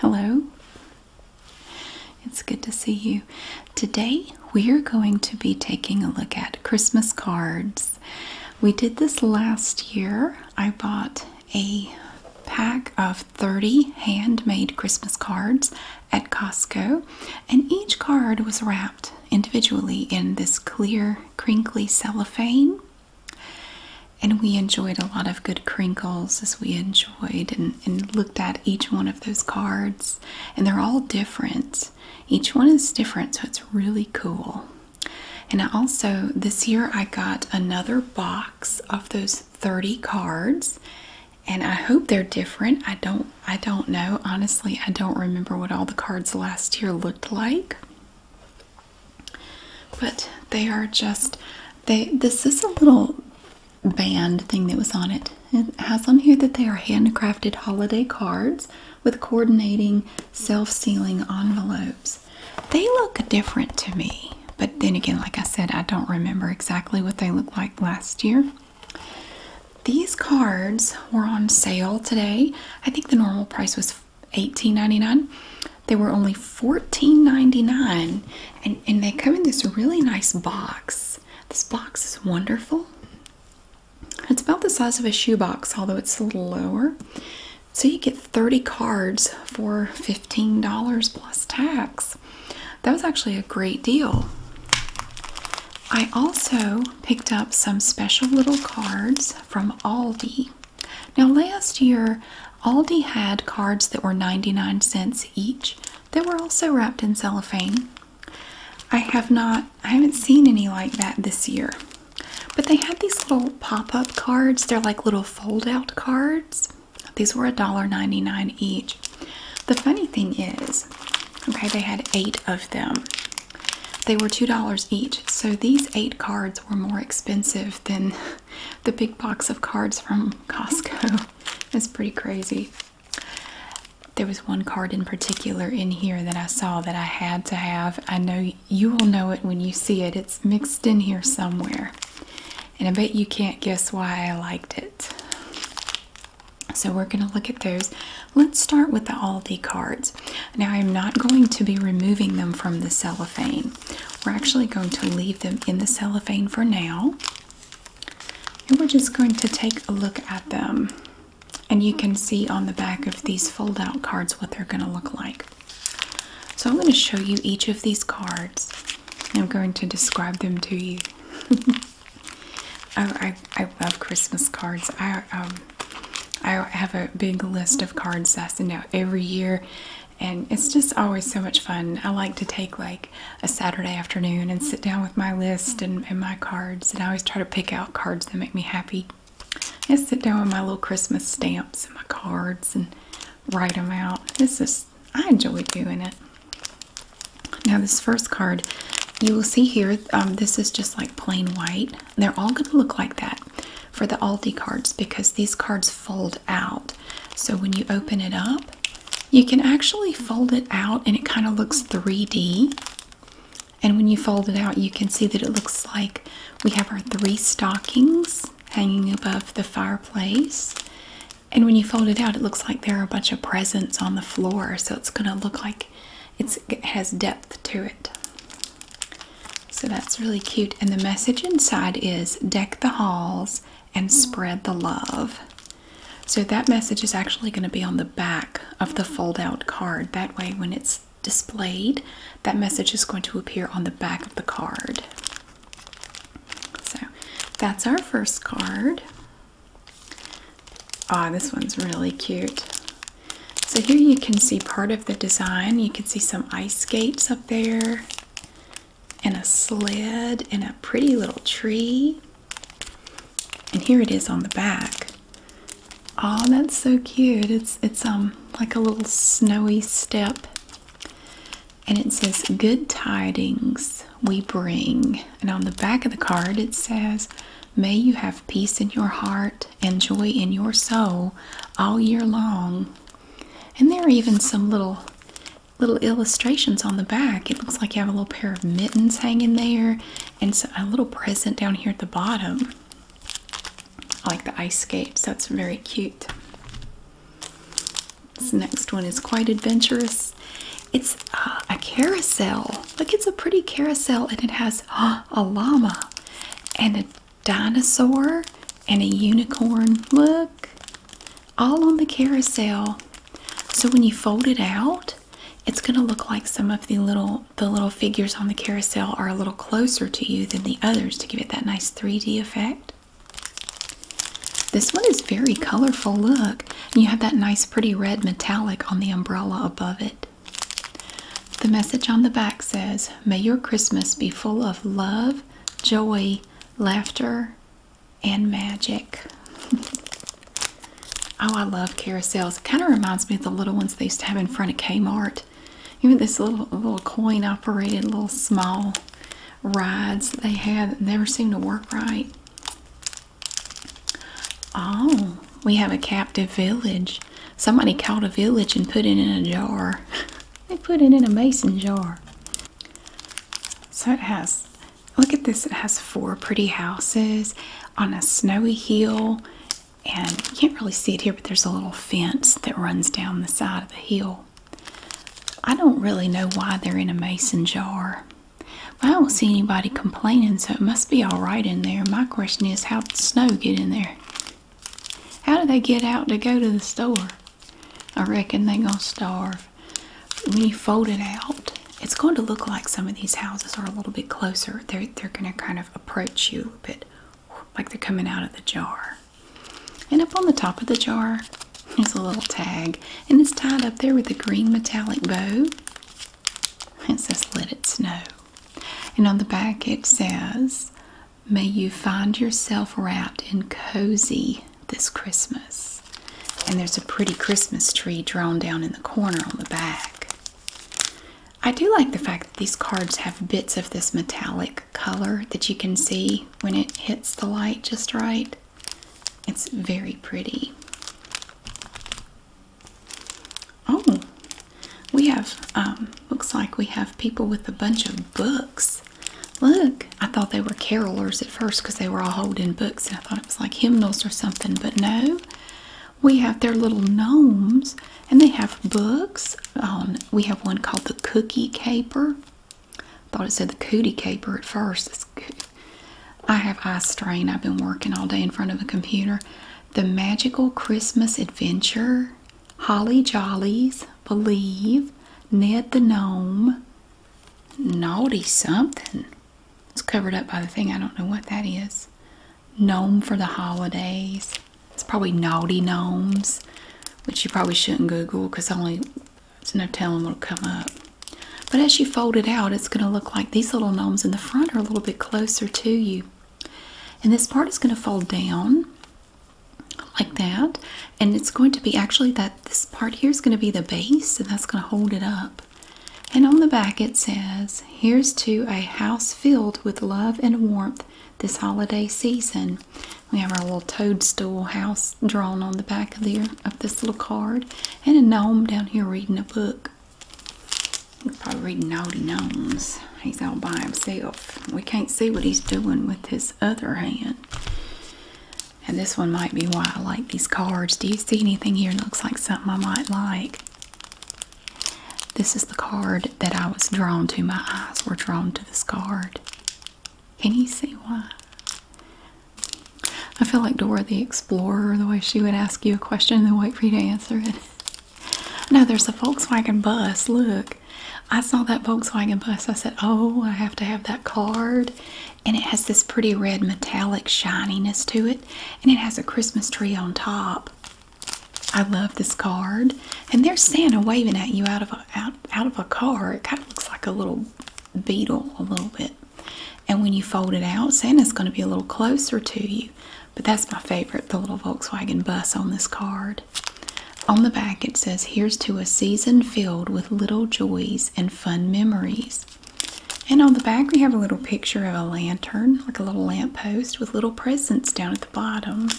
Hello. It's good to see you. Today we're going to be taking a look at Christmas cards. We did this last year. I bought a pack of 30 handmade Christmas cards at Costco, and each card was wrapped individually in this clear, crinkly cellophane and we enjoyed a lot of good crinkles as we enjoyed and, looked at each one of those cards and they're all different each one is different so it's really cool and i also this year i got another box of those 30 cards and i hope they're different i don't i don't know honestly i don't remember what all the cards last year looked like but they are just they this is a little band thing that was on it. It has on here that they are handcrafted holiday cards with coordinating self-sealing envelopes. They look different to me, but then again, like I said, I don't remember exactly what they looked like last year. These cards were on sale today. I think the normal price was eighteen ninety nine. They were only $14.99 and, and they come in this really nice box. This box is wonderful. It's about the size of a shoebox, although it's a little lower. So you get 30 cards for $15 plus tax. That was actually a great deal. I also picked up some special little cards from Aldi. Now, last year Aldi had cards that were 99 cents each that were also wrapped in cellophane. I have not, I haven't seen any like that this year. But they had these little pop-up cards. They're like little fold-out cards. These were a dollar ninety-nine each. The funny thing is, okay, they had eight of them. They were $2 each. So these eight cards were more expensive than the big box of cards from Costco. is pretty crazy. There was one card in particular in here that I saw that I had to have. I know you will know it when you see it. It's mixed in here somewhere. And I bet you can't guess why I liked it. So we're going to look at those. Let's start with the Aldi cards. Now I'm not going to be removing them from the cellophane. We're actually going to leave them in the cellophane for now. And we're just going to take a look at them. And you can see on the back of these fold out cards what they're going to look like. So I'm going to show you each of these cards. I'm going to describe them to you. Oh, I, I, love Christmas cards. I, um, I have a big list of cards that's, send out every year and it's just always so much fun. I like to take like a Saturday afternoon and sit down with my list and, my cards, and I always try to pick out cards that make me happy. And sit down with my little Christmas stamps and my cards and write them out. This is I enjoy doing it. Now this first card, you will see here. Um, this is just like plain white. They're all going to look like that for the Aldi cards because these cards fold out. So when you open it up, you can actually fold it out and it kind of looks 3D. And when you fold it out, you can see that it looks like we have our three stockings hanging above the fireplace. And when you fold it out, it looks like there are a bunch of presents on the floor. So it's going to look like it has depth to it. So that's really cute. And the message inside is deck the halls, and spread the love. So that message is actually going to be on the back of the fold out card. That way, when it's displayed, that message is going to appear on the back of the card. So that's our first card. Ah, oh, this one's really cute. So here you can see part of the design. You can see some ice skates up there and a sled and a pretty little tree. And here it is on the back. Oh, that's so cute. It's it's um like a little snowy step. And it says good tidings we bring. And on the back of the card it says may you have peace in your heart and joy in your soul all year long. And there are even some little little illustrations on the back. It looks like you have a little pair of mittens hanging there and a little present down here at the bottom. I like the ice skates. That's very cute. This next one is quite adventurous. It's a carousel. Look, it's a pretty carousel and it has a llama and a dinosaur and a unicorn. Look all on the carousel. So when you fold it out, it's going to look like some of the little the little figures on the carousel are a little closer to you than the others to give it that nice 3D effect. This one is very colorful. Look, you have that nice pretty red metallic on the umbrella above it. The message on the back says, "May your Christmas be full of love, joy, laughter, and magic. oh, I love carousels. It kind of reminds me of the little ones they used to have in front of Kmart. Even this little little coin operated little small rides they had never seemed to work right. Oh, we have a captive village. Somebody caught a village and put it in a jar. they put it in a mason jar. So it has, look at this, it has four pretty houses on a snowy hill. And you can't really see it here, but there's a little fence that runs down the side of the hill. I don't really know why they're in a mason jar. But I don't see anybody complaining, so it must be all right in there. My question is, how did snow get in there? How did they get out to go to the store? I reckon they gonna starve. When you fold it out, it's going to look like some of these houses are a little bit closer. They're they're gonna kind of approach you a bit, like they're coming out of the jar. And up on the top of the jar, is a little tag, and it's tied up there with a green metallic bow. It says "Let It Snow," and on the back it says May you find yourself wrapped in cozy this Christmas. And there's a pretty Christmas tree drawn down in the corner on the back. I do like the fact that these cards have bits of this metallic color that you can see when it hits the light just right. It's very pretty. Oh, we have, um, looks like we have people with a bunch of books. Look, I thought they were carolers at first because they were all holding books, and I thought it was like hymnals or something, but no. We have their little gnomes, and they have books. we have one called the Cookie Caper. I Thought it said the Cootie Caper at first. I have eye strain. I've been working all day in front of a computer. The Magical Christmas Adventure, Holly Jollies, Believe, Ned the Gnome, Naughty Something. It's covered up by the thing. I don't know what that is. Gnome for the Holidays. It's probably Naughty Gnomes, which you probably shouldn't Google because only it's no telling what'll come up. But as you fold it out, it's going to look like these little gnomes in the front are a little bit closer to you. And this part is going to fold down like that and it's going to be actually that this part here is going to be the base and that's going to hold it up and on the back it says here's to a house filled with love and warmth this holiday season we have our little toadstool house drawn on the back of there of this little card and a gnome down here reading a book he's probably reading naughty gnomes he's all by himself we can't see what he's doing with his other hand and this one might be why I like these cards. Do you see anything here that looks like something I might like? This is the card that I was drawn to. My eyes were drawn to this card. Can you see why? I feel like Dora the Explorer, the way she would ask you a question and then wait for you to answer it. No, there's a Volkswagen bus. Look. I saw that Volkswagen bus. I said, Oh, I have to have that card. And it has this pretty red metallic shininess to it. And it has a Christmas tree on top. I love this card. And there's Santa waving at you out of a, out, out of a car. It kind of looks like a little beetle a little bit. And when you fold it out, Santa's going to be a little closer to you. But that's my favorite, the little Volkswagen bus on this card. On the back, it says, Here's to a season filled with little joys and fun memories. And on the back, we have a little picture of a lantern, like a little lamppost, with little presents down at the bottom.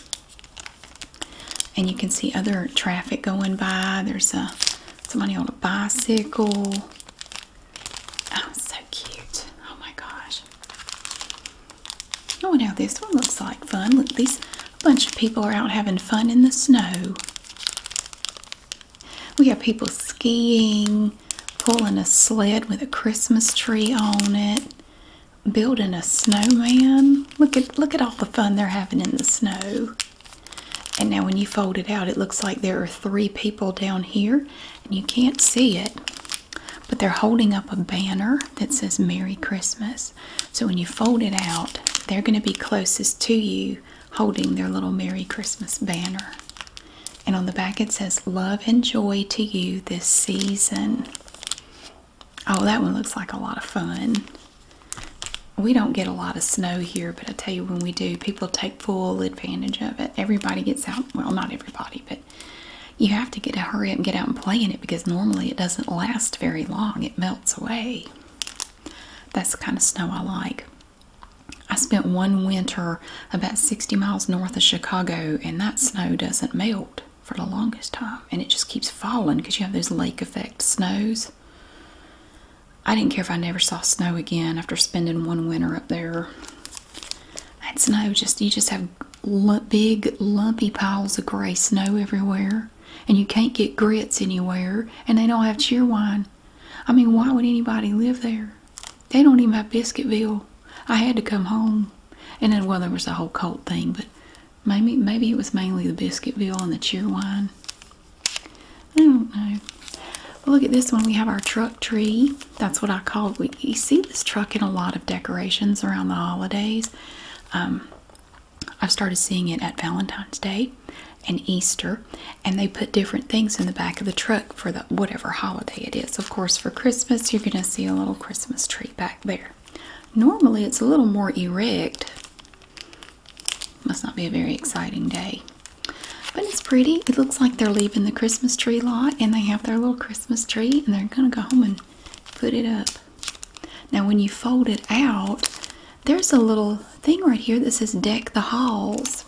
And you can see other traffic going by. There's a somebody on a bicycle. Oh, so cute. Oh my gosh. Oh, now this one looks like fun. Look, these a bunch of people are out having fun in the snow. We have people skiing, pulling a sled with a Christmas tree on it, building a snowman. Look at look at all the fun they're having in the snow. And now when you fold it out, it looks like there are three people down here, and you can't see it. But they're holding up a banner that says Merry Christmas. So when you fold it out, they're going to be closest to you holding their little Merry Christmas banner. And on the back it says, Love and joy to you this season. Oh, that one looks like a lot of fun. We don't get a lot of snow here, but I tell you, when we do, people take full advantage of it. Everybody gets out. Well, not everybody, but you have to get a hurry up and get out and play in it because normally it doesn't last very long. It melts away. That's the kind of snow I like. I spent one winter about 60 miles north of Chicago, and that snow doesn't melt for the longest time, and it just keeps falling because you have those lake effect snows. I didn't care if I never saw snow again after spending one winter up there. That snow just you just have big lumpy piles of gray snow everywhere and you can't get grits anywhere, and they don't have cheerwine. I mean, why would anybody live there? They don't even have Biscuitville. I had to come home, and then well, there was the whole cult thing, but maybe maybe it was mainly the Biscuitville and the cheerwine. I don't know. Look at this one. We have our truck tree. That's what I call it. We, you see this truck in a lot of decorations around the holidays. Um, I've started seeing it at Valentine's Day and Easter, and they put different things in the back of the truck for the whatever holiday it is. Of course, for Christmas, you're going to see a little Christmas tree back there. Normally, it's a little more erect. Must not be a very exciting day. But it's pretty. It looks like they're leaving the Christmas tree lot and they have their little Christmas tree and they're going to go home and put it up. Now, when you fold it out, there's a little thing right here that says deck the halls.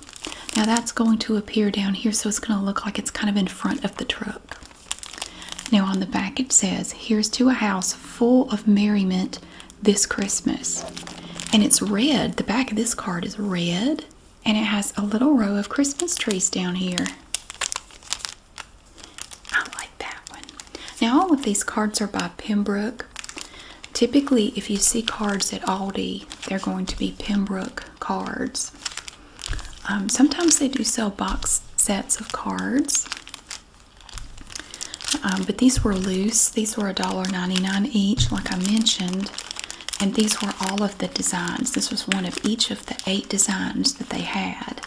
Now, that's going to appear down here, so it's going to look like it's kind of in front of the truck. Now, on the back, it says, Here's to a house full of merriment this Christmas. And it's red. The back of this card is red, and it has a little row of Christmas trees down here. I like that one. Now, all of these cards are by Pembroke. Typically, if you see cards at Aldi, they're going to be Pembroke cards. Um, sometimes they do sell box sets of cards, um, but these were loose. These were $1.99 each, like I mentioned, and these were all of the designs. This was one of each of the eight designs that they had.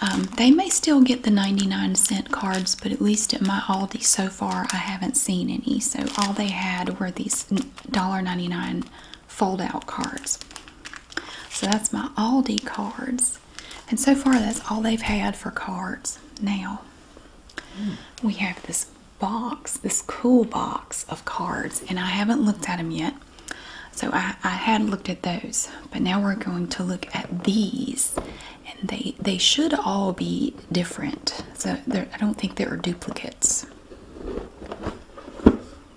Um, they may still get the 99 cent cards, but at least at my Aldi so far, I haven't seen any. So all they had were these $1.99 fold out cards. So that's my Aldi cards. And so far, that's all they've had for cards. Now, we have this box, this cool box of cards, and I haven't looked at them yet. So I, I had looked at those, but now we're going to look at these and they they should all be different. So I don't think there are duplicates.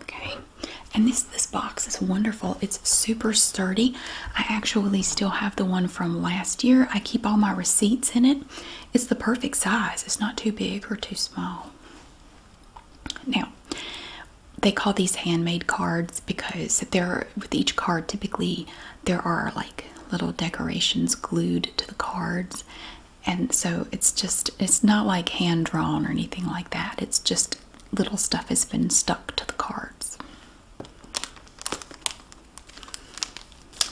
Okay, and this this box is wonderful. It's super sturdy. I actually still have the one from last year. I keep all my receipts in it. It's the perfect size. It's not too big or too small. Now, they call these handmade cards because they're with each card typically there are like little decorations glued to the cards and so it's just it's not like hand drawn or anything like that it's just little stuff has been stuck to the cards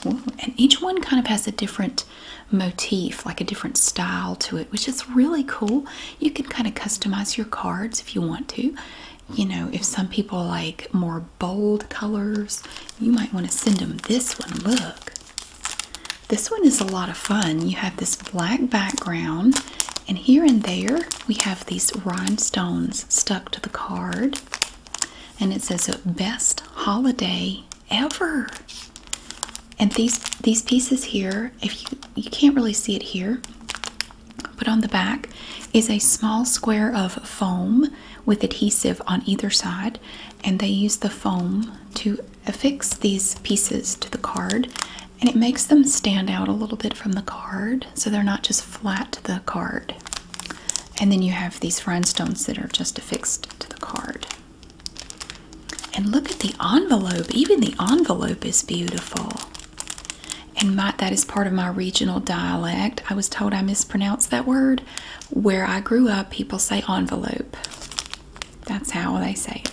and each one kind of has a different motif like a different style to it which is really cool you can kind of customize your cards if you want to you know, if some people like more bold colors, you might want to send them this one. Look, this one is a lot of fun. You have this black background, and here and there we have these rhinestones stuck to the card, and it says "Best Holiday Ever." And these these pieces here, if you you can't really see it here, but on the back is a small square of foam with adhesive on either side, and they use the foam to affix these pieces to the card, and it makes them stand out a little bit from the card so they're not just flat to the card. And then you have these rhinestones that are just affixed to the card. And look at the envelope, even the envelope is beautiful and my, that is part of my regional dialect. I was told I mispronounced that word. Where I grew up, people say envelope. That's how they say it.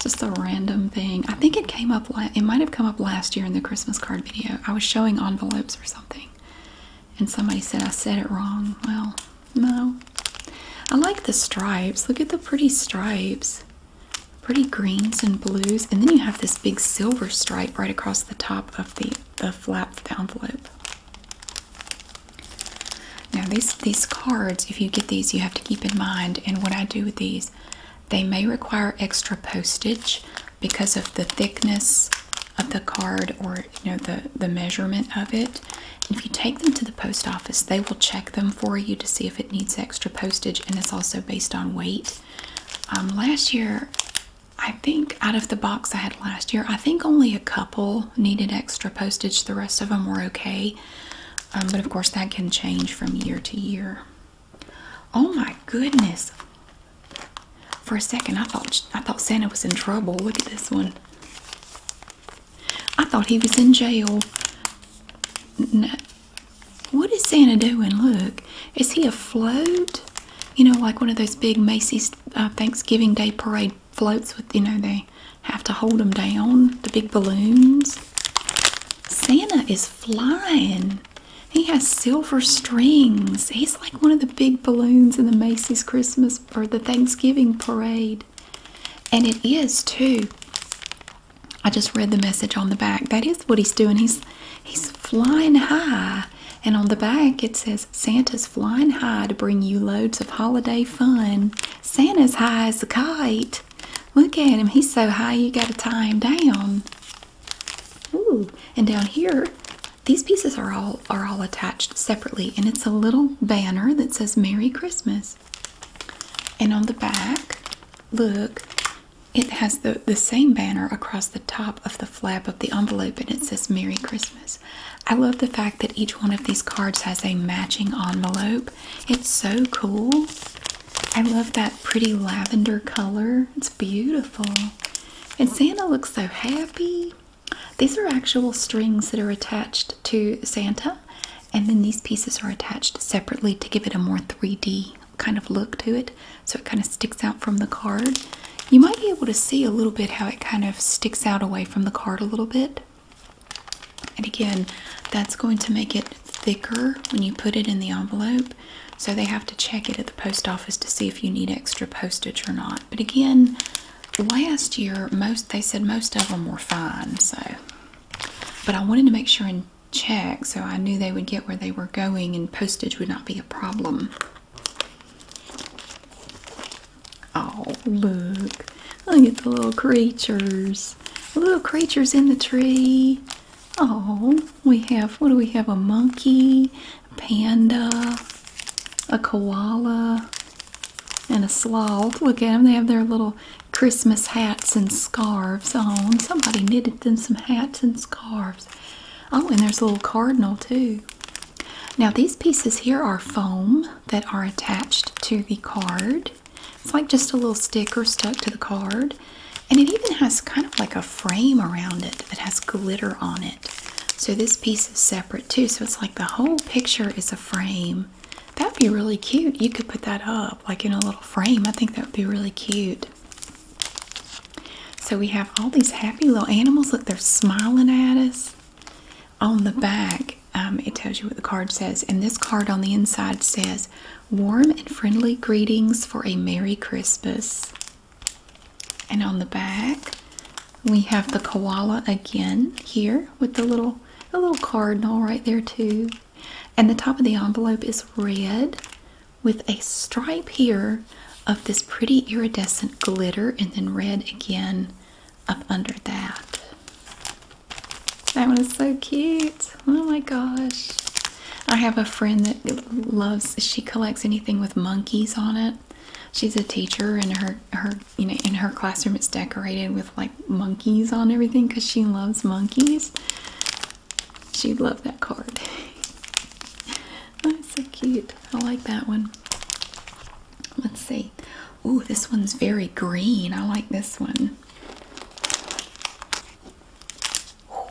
Just a random thing. I think it came up, it might have come up last year in the Christmas card video. I was showing envelopes or something, and somebody said I said it wrong. Well, no. I like the stripes. Look at the pretty stripes pretty greens and blues, and then you have this big silver stripe right across the top of the, the flap of the envelope. Now these these cards, if you get these, you have to keep in mind. And what I do with these, they may require extra postage because of the thickness of the card or you know the the measurement of it. if you take them to the post office, they will check them for you to see if it needs extra postage and it's also based on weight. Um, last year, I think out of the box I had last year, I think only a couple needed extra postage. The rest of them were okay. Um, but of course, that can change from year to year. Oh my goodness. For a second, I thought I thought Santa was in trouble. Look at this one. I thought he was in jail. What is Santa doing? Look, is he afloat? You know, like one of those big Macy's uh, Thanksgiving Day parade floats with, you know, they have to hold them down, the big balloons. Santa is flying. He has silver strings. He's like one of the big balloons in the Macy's Christmas or the Thanksgiving parade. And it is too. I just read the message on the back. That is what he's doing. He's he's flying high. And on the back it says Santa's flying high to bring you loads of holiday fun. Santa's high as a kite. Look at him. He's so high you gotta tie him down. Ooh, and down here, these pieces are all are all attached separately, and it's a little banner that says Merry Christmas. And on the back, look, it has the, the same banner across the top of the flap of the envelope and it says Merry Christmas. I love the fact that each one of these cards has a matching envelope. It's so cool. I love that pretty lavender color. It's beautiful. And Santa looks so happy. These are actual strings that are attached to Santa, and then these pieces are attached separately to give it a more 3D kind of look to it so it kind of sticks out from the card. You might be able to see a little bit how it kind of sticks out away from the card a little bit. And again, that's going to make it thicker when you put it in the envelope. So they have to check it at the post office to see if you need extra postage or not. But again, last year most they said most of them were fine, so but I wanted to make sure and check, so I knew they would get where they were going and postage would not be a problem. Oh, look. Look at the little creatures. little creatures in the tree. Oh, we have, what do we have? A monkey, panda, a koala, and a sloth. Look at them. They have their little Christmas hats and scarves on. Oh, somebody knitted them some hats and scarves. Oh, and there's a little cardinal too. Now, these pieces here are foam that are attached to the card. It's like just a little sticker stuck to the card. And it even has kind of like a frame around it that has glitter on it. So this piece is separate too. So it's like the whole picture is a frame. That'd be really cute. You could put that up like in a little frame. I think that would be really cute. So we have all these happy little animals. Look, they're smiling at us. On the back, um, it tells you what the card says. And this card on the inside says, Warm and friendly greetings for a Merry Christmas. And on the back, we have the koala again here with the little the little cardinal right there too. And the top of the envelope is red with a stripe here of this pretty iridescent glitter and then red again up under that. That one is so cute. Oh my gosh. I have a friend that loves she collects anything with monkeys on it. She's a teacher and her her you know in her classroom it's decorated with like monkeys on everything cuz she loves monkeys. She'd love that card. That's so cute. I like that one. Let's see. Oh, this one's very green. I like this one. wow.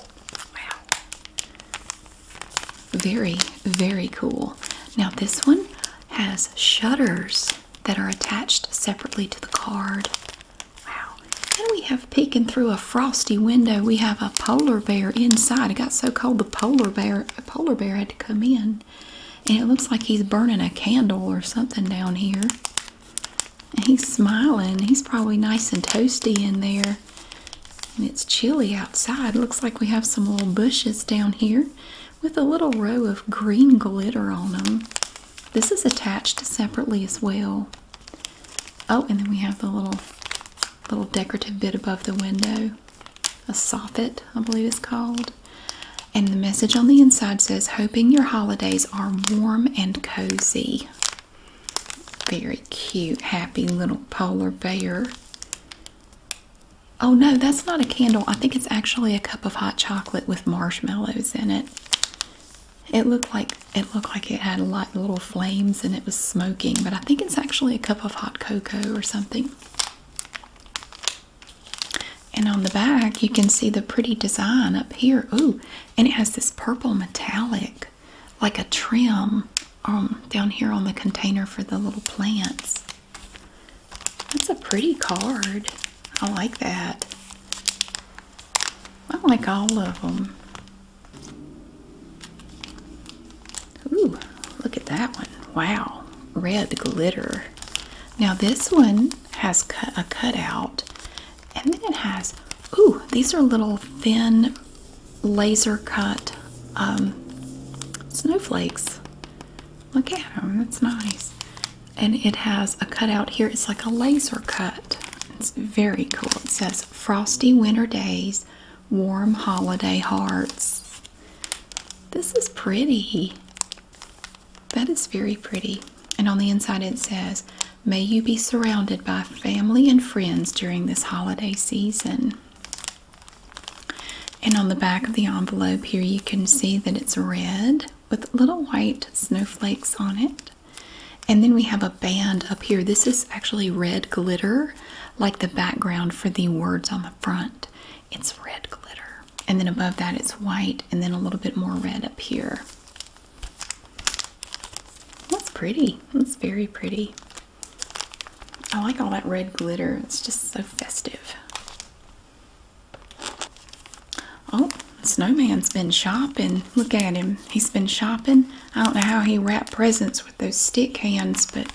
Very, very cool. Now, this one has shutters that are attached separately to the card. Wow. And we have peeking through a frosty window. We have a polar bear inside. It got so cold the polar bear a polar bear had to come in. And it looks like he's burning a candle or something down here. And he's smiling. He's probably nice and toasty in there. And it's chilly outside. Looks like we have some little bushes down here with a little row of green glitter on them. This is attached separately as well. Oh, and then we have the little little decorative bit above the window, a soffit, I believe it's called. And the message on the inside says, hoping your holidays are warm and cozy. Very cute, happy little polar bear. Oh no, that's not a candle. I think it's actually a cup of hot chocolate with marshmallows in it. It looked like it looked like it had a little flames and it was smoking, but I think it's actually a cup of hot cocoa or something. And on the back, you can see the pretty design up here. Ooh, and it has this purple metallic, like a trim, um, down here on the container for the little plants. That's a pretty card. I like that. I like all of them. Ooh, look at that one. Wow, red glitter. Now this one has a cutout and then it has, ooh, these are little thin laser cut um, snowflakes. Look at them, that's nice. And it has a cutout here, it's like a laser cut. It's very cool. It says frosty winter days, warm holiday hearts. This is pretty. That is very pretty. And on the inside it says, May you be surrounded by family and friends during this holiday season. And on the back of the envelope here, you can see that it's red with little white snowflakes on it. And then we have a band up here. This is actually red glitter, like the background for the words on the front. It's red glitter. And then above that, it's white, and then a little bit more red up here. That's pretty. That's very pretty. I like all that red glitter, it's just so festive. Oh, Snowman's been shopping. Look at him. He's been shopping. I don't know how he wrapped presents with those stick hands, but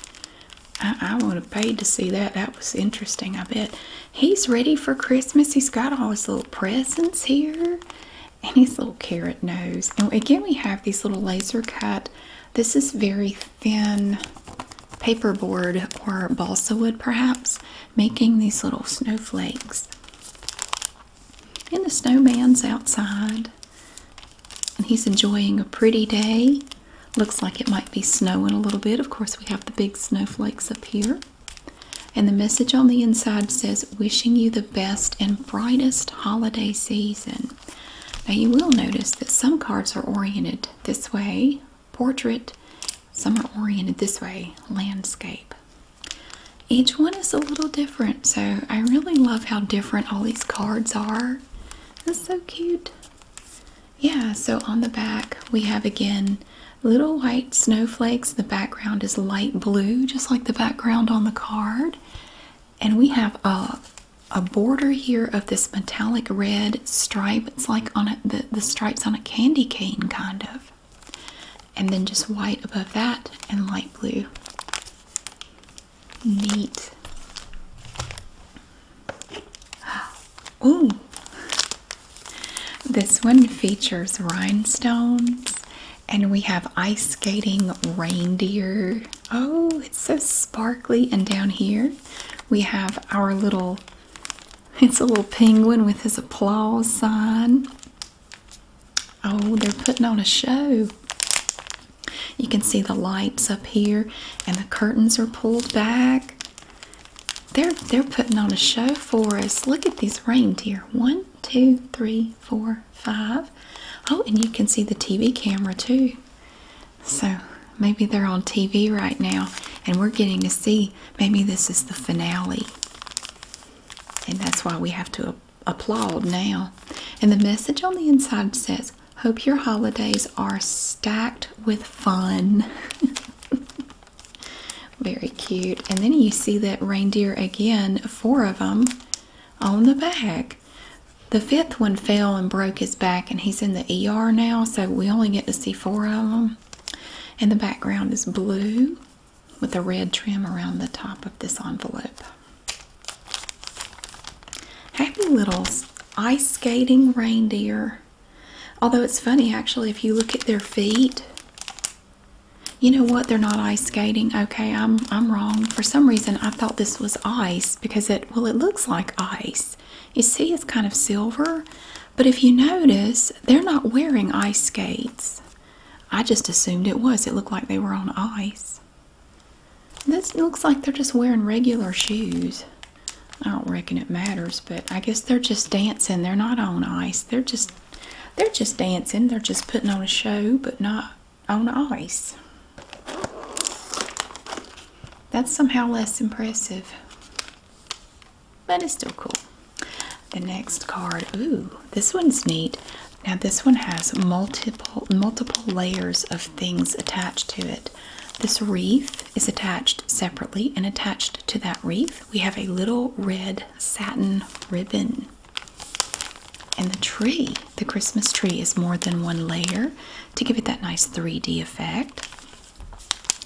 I, would have paid to see that. That was interesting, I bet. He's ready for Christmas. He's got all his little presents here and his little carrot nose. And again, we have these little laser cut. This is very thin paperboard or balsa wood, perhaps, making these little snowflakes. And the snowman's outside. And he's enjoying a pretty day. Looks like it might be snowing a little bit. Of course, we have the big snowflakes up here. And the message on the inside says, Wishing you the best and brightest holiday season. Now, you will notice that some cards are oriented this way portrait, some are oriented this way landscape. Each one is a little different, so I really love how different all these cards are. That's so cute. Yeah, so on the back we have again little white snowflakes. The background is light blue, just like the background on the card. And we have a, a border here of this metallic red stripe. It's like on the, the stripes on a candy cane, kind of and then just white above that and light blue. Neat. Ooh. This one features rhinestones and we have ice skating reindeer. Oh, it's so sparkly. And down here we have our little, it's a little penguin with his applause sign. Oh, they're putting on a show. You can see the lights up here and the curtains are pulled back. They're they're putting on a show for us. Look at these reindeer. One, two, three, four, five. Oh, and you can see the TV camera too. So maybe they're on TV right now and we're getting to see maybe this is the finale. And that's why we have to applaud now. And the message on the inside says, Hope your holidays are stacked with fun. Very cute. And then you see that reindeer again, four of them on the back. The fifth one fell and broke his back, and he's in the ER now, so we only get to see four of them. And the background is blue with a red trim around the top of this envelope. Happy little ice skating reindeer. Although it's funny actually, if you look at their feet, you know what? They're not ice skating. Okay, I'm I'm wrong. For some reason, I thought this was ice because it well, it looks like ice. You see, it's kind of silver, but if you notice, they're not wearing ice skates. I just assumed it was. It looked like they were on ice. This looks like they're just wearing regular shoes. I don't reckon it matters, but I guess they're just dancing. They're not on ice. They're just they're just dancing. They're just putting on a show, but not on ice. That's somehow less impressive. But it's still cool. The next card, ooh, this one's neat. Now this one has multiple multiple layers of things attached to it. This wreath is attached separately, and attached to that wreath, we have a little red satin ribbon. And the tree, the Christmas tree, is more than one layer to give it that nice 3D effect.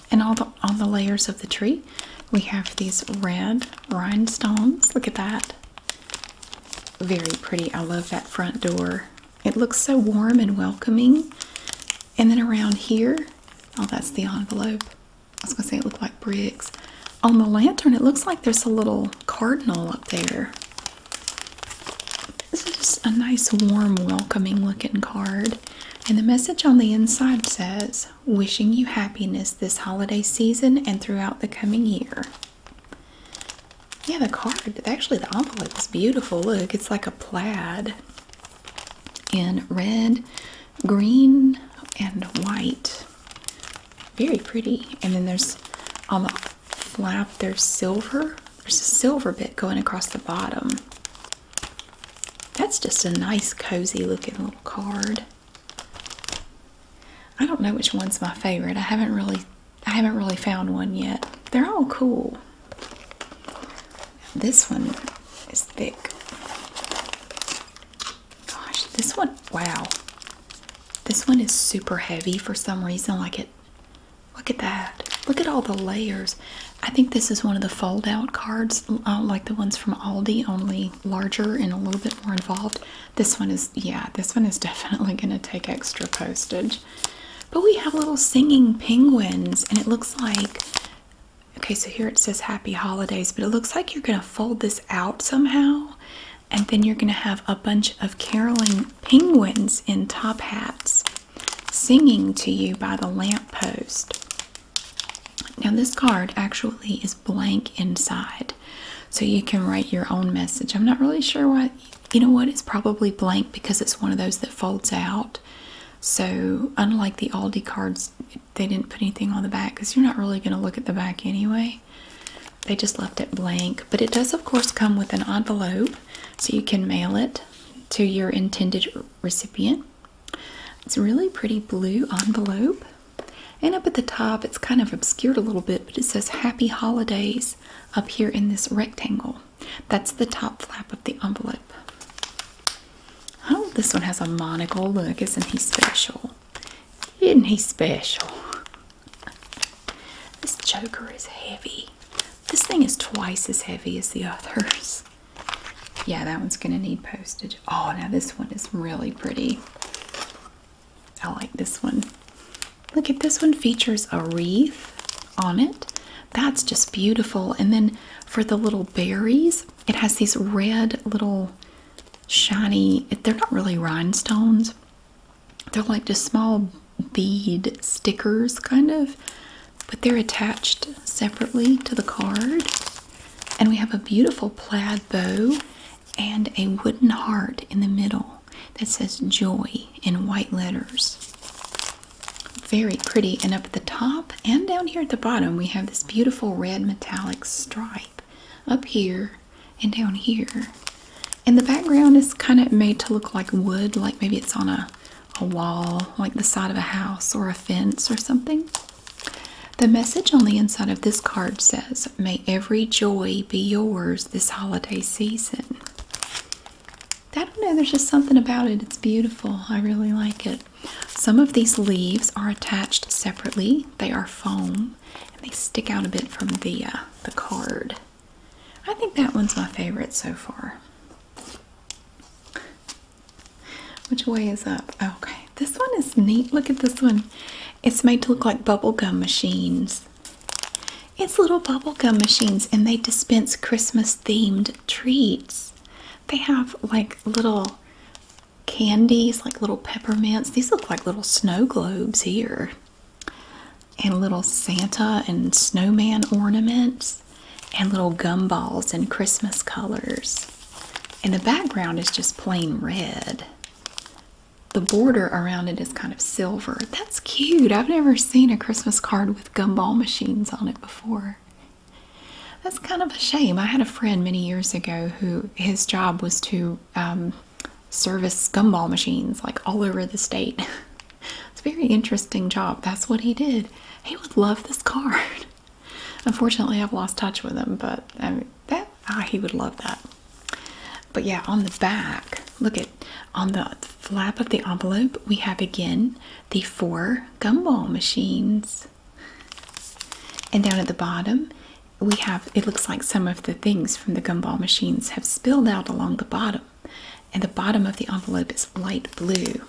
And all the, on the layers of the tree, we have these red rhinestones. Look at that. Very pretty. I love that front door. It looks so warm and welcoming. And then around here, oh, that's the envelope. I was gonna say it looked like bricks. On the lantern, it looks like there's a little cardinal up there. This is a nice, warm, welcoming looking card. And the message on the inside says wishing you happiness this holiday season and throughout the coming year. Yeah, the card, actually, the envelope is beautiful. Look, it's like a plaid in red, green, and white. Very pretty. And then there's on the flap, there's silver. There's a silver bit going across the bottom. That's just a nice, cozy looking little card. I don't know which one's my favorite. I haven't really I haven't really found one yet. They're all cool. This one is thick. Gosh, this one wow. This one is super heavy for some reason like it Look at that. Look at all the layers. I think this is one of the fold out cards uh, like the ones from Aldi only larger and a little bit more involved. This one is, yeah, this one is definitely going to take extra postage. But we have little singing penguins, and it looks like, okay, so here it says Happy Holidays, but it looks like you're going to fold this out somehow, and then you're going to have a bunch of caroling penguins in top hats singing to you by the lamp post. Now, this card actually is blank inside. So you can write your own message. I'm not really sure why. You know what? It's probably blank because it's one of those that folds out. So, unlike the Aldi cards, they didn't put anything on the back because you're not really going to look at the back anyway. They just left it blank. But it does, of course, come with an envelope so you can mail it to your intended recipient. It's a really pretty blue envelope. And up at the top, it's kind of obscured a little bit, but it says Happy Holidays up here in this rectangle. That's the top flap of the envelope. Oh, this one has a monocle. Look, isn't he special? Isn't he special? This joker is heavy. This thing is twice as heavy as the others. Yeah, that one's going to need postage, Oh, now this one is really pretty. I like this one. Look at this one features a wreath on it. That's just beautiful. And then for the little berries, it has these red little shiny, they're not really rhinestones. They're like just small bead stickers kind of, but they're attached separately to the card. And we have a beautiful plaid bow and a wooden heart in the middle that says joy in white letters. Very pretty. And up at the top and down here at the bottom, we have this beautiful red metallic stripe up here and down here. And the background is kind of made to look like wood, like maybe it's on a, a wall, like the side of a house or a fence or something. The message on the inside of this card says, May every joy be yours this holiday season. I don't know, there's just something about it. It's beautiful. I really like it. Some of these leaves are attached separately, they are foam and they stick out a bit from the, uh, the card. I think that one's my favorite so far. Which way is up? Okay. This one is neat. Look at this one. It's made to look like bubblegum machines. It's little bubblegum machines and they dispense Christmas themed treats. They have like little candies, like little peppermints. These look like little snow globes here. And little Santa and snowman ornaments and little gumballs in Christmas colors. And the background is just plain red the border around it is kind of silver. That's cute. I've never seen a Christmas card with gumball machines on it before. That's kind of a shame. I had a friend many years ago who his job was to um, service gumball machines like all over the state. it's a very interesting job. That's what he did. He would love this card. Unfortunately, I've lost touch with him, but I um, that Ah, he would love that. But yeah, on the back, look at on the flap of the envelope, we have again the four gumball machines. And down at the bottom, we have it looks like some of the things from the gumball machines have spilled out along the bottom. And the bottom of the envelope is light blue.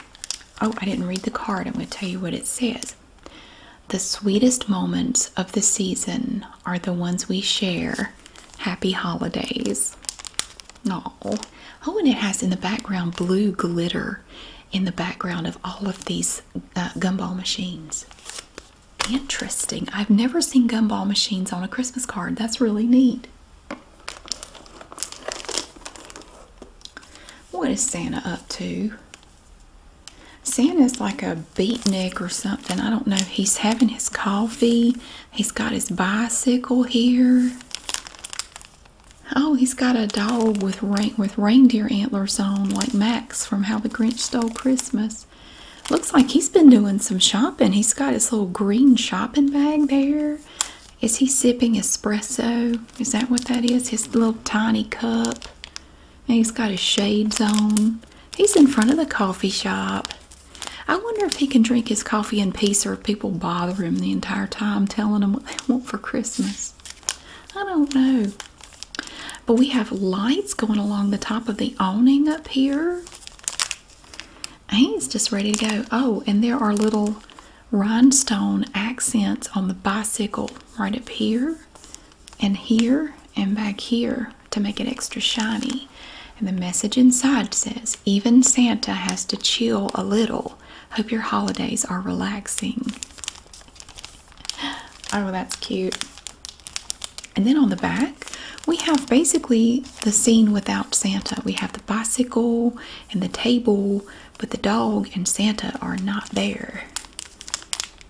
Oh, I didn't read the card. I'm going to tell you what it says. The sweetest moments of the season are the ones we share. Happy holidays. Aww. Oh, and it has in the background blue glitter in the background of all of these uh, gumball machines. Interesting. I've never seen gumball machines on a Christmas card. That's really neat. What is Santa up to? Santa's like a beatnik or something. I don't know. He's having his coffee. He's got his bicycle here. Oh, he's got a dog with with reindeer antlers on, like Max from How the Grinch Stole Christmas. Looks like he's been doing some shopping. He's got his little green shopping bag there. Is he sipping espresso? Is that what that is? His little tiny cup he's got his shades on. He's in front of the coffee shop. I wonder if he can drink his coffee in peace or if people bother him the entire time telling him what they want for Christmas. I don't know. But we have lights going along the top of the awning up here. he's just ready to go. Oh, and there are little rhinestone accents on the bicycle right up here and here and back here to make it extra shiny. And the message inside says, even Santa has to chill a little. Hope your holidays are relaxing. Oh, that's cute. And then on the back, we have basically the scene without Santa. We have the bicycle and the table, but the dog and Santa are not there.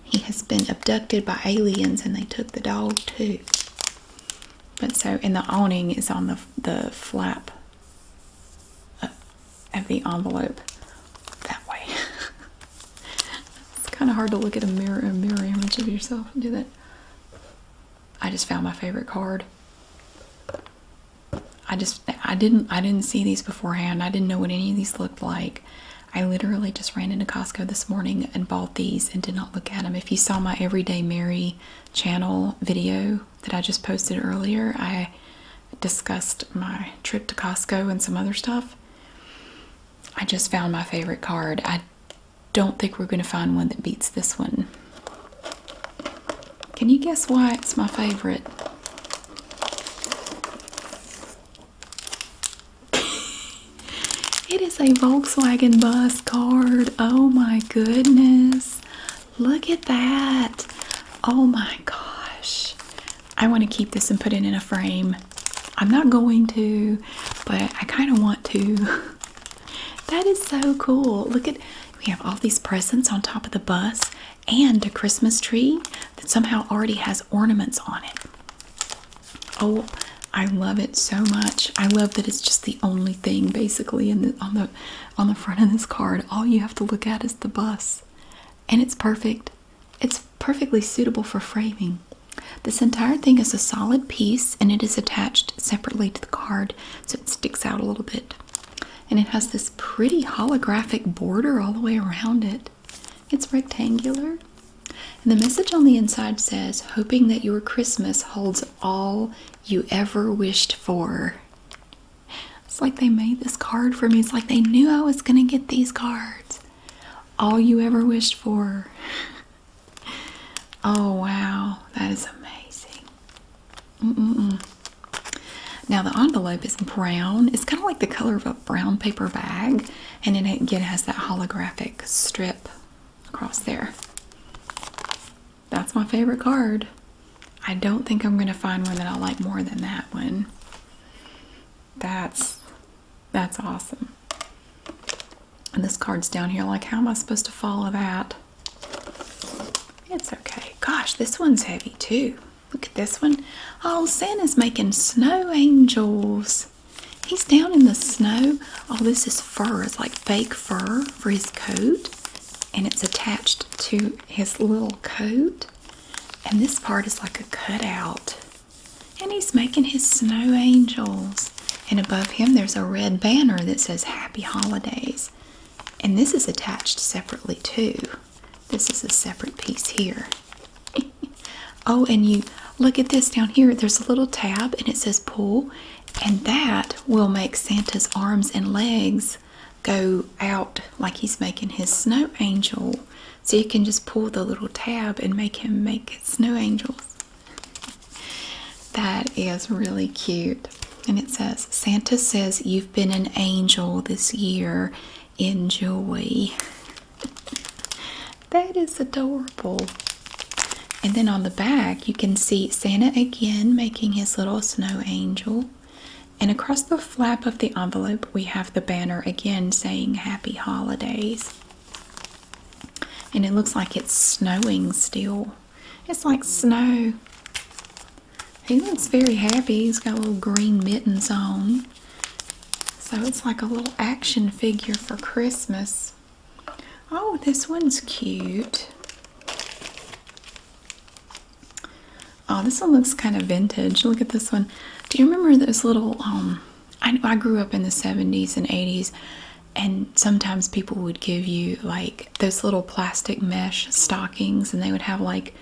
He has been abducted by aliens and they took the dog too. But so, and the awning is on the, the flap uh, of the envelope that way. it's kind of hard to look at a mirror, a mirror image of yourself and do that. I just found my favorite card. I just I didn't I didn't see these beforehand. I didn't know what any of these looked like. I literally just ran into Costco this morning and bought these and did not look at them. If you saw my Everyday Mary channel video that I just posted earlier, I discussed my trip to Costco and some other stuff. I just found my favorite card. I don't think we're going to find one that beats this one. Can you guess why it's my favorite? it is a Volkswagen bus card. Oh my goodness. Look at that. Oh my gosh. I want to keep this and put it in a frame. I'm not going to, but I kind of want to. that is so cool. Look at we have all these presents on top of the bus and a Christmas tree that somehow already has ornaments on it. Oh, I love it so much. I love that it's just the only thing basically on the on the front of this card. All you have to look at is the bus. And it's perfect. It's perfectly suitable for framing. This entire thing is a solid piece and it is attached separately to the card so it sticks out a little bit. And it has this pretty holographic border all the way around it. It's rectangular. And the message on the inside says, hoping that your Christmas holds all you ever wished for. It's like they made this card for me. It's like they knew I was going to get these cards. All you ever wished for. oh, wow. That is amazing. Now, the envelope is brown. It's kind of like the color of a brown paper bag and it again has that holographic strip across there. That's my favorite card. I don't think I'm gonna find one that I like more than that one. That's that's awesome. And this card's down here. Like, how am I supposed to follow that? It's okay. Gosh, this one's heavy too. Look at this one. Oh, Santa's making snow angels. He's down in the snow. Oh, this is fur. It's like fake fur for his coat. And it's attached to his little coat. And this part is like a cutout. And he's making his snow angels. And above him, there's a red banner that says Happy Holidays. And this is attached separately, too. This is a separate piece here. oh, and you look at this down here. There's a little tab and it says pull, and that will make Santa's arms and legs go out like he's making his snow angel. So you can just pull the little tab and make him make snow angels. That is really cute. And it says, Santa says you've been an angel this year. Enjoy. that is adorable. And then on the back, you can see Santa again making his little snow angel. And across the flap of the envelope, we have the banner again saying Happy Holidays. And it looks like it's snowing still. It's like snow. He looks very happy. He's got little green mittens on. So it's like a little action figure for Christmas. Oh, this one's cute. Oh, this one looks kind of vintage. Look at this one. Do you remember those little, um, I grew up in the 70s and 80s, and sometimes people would give you like those little plastic mesh stockings, and they would have like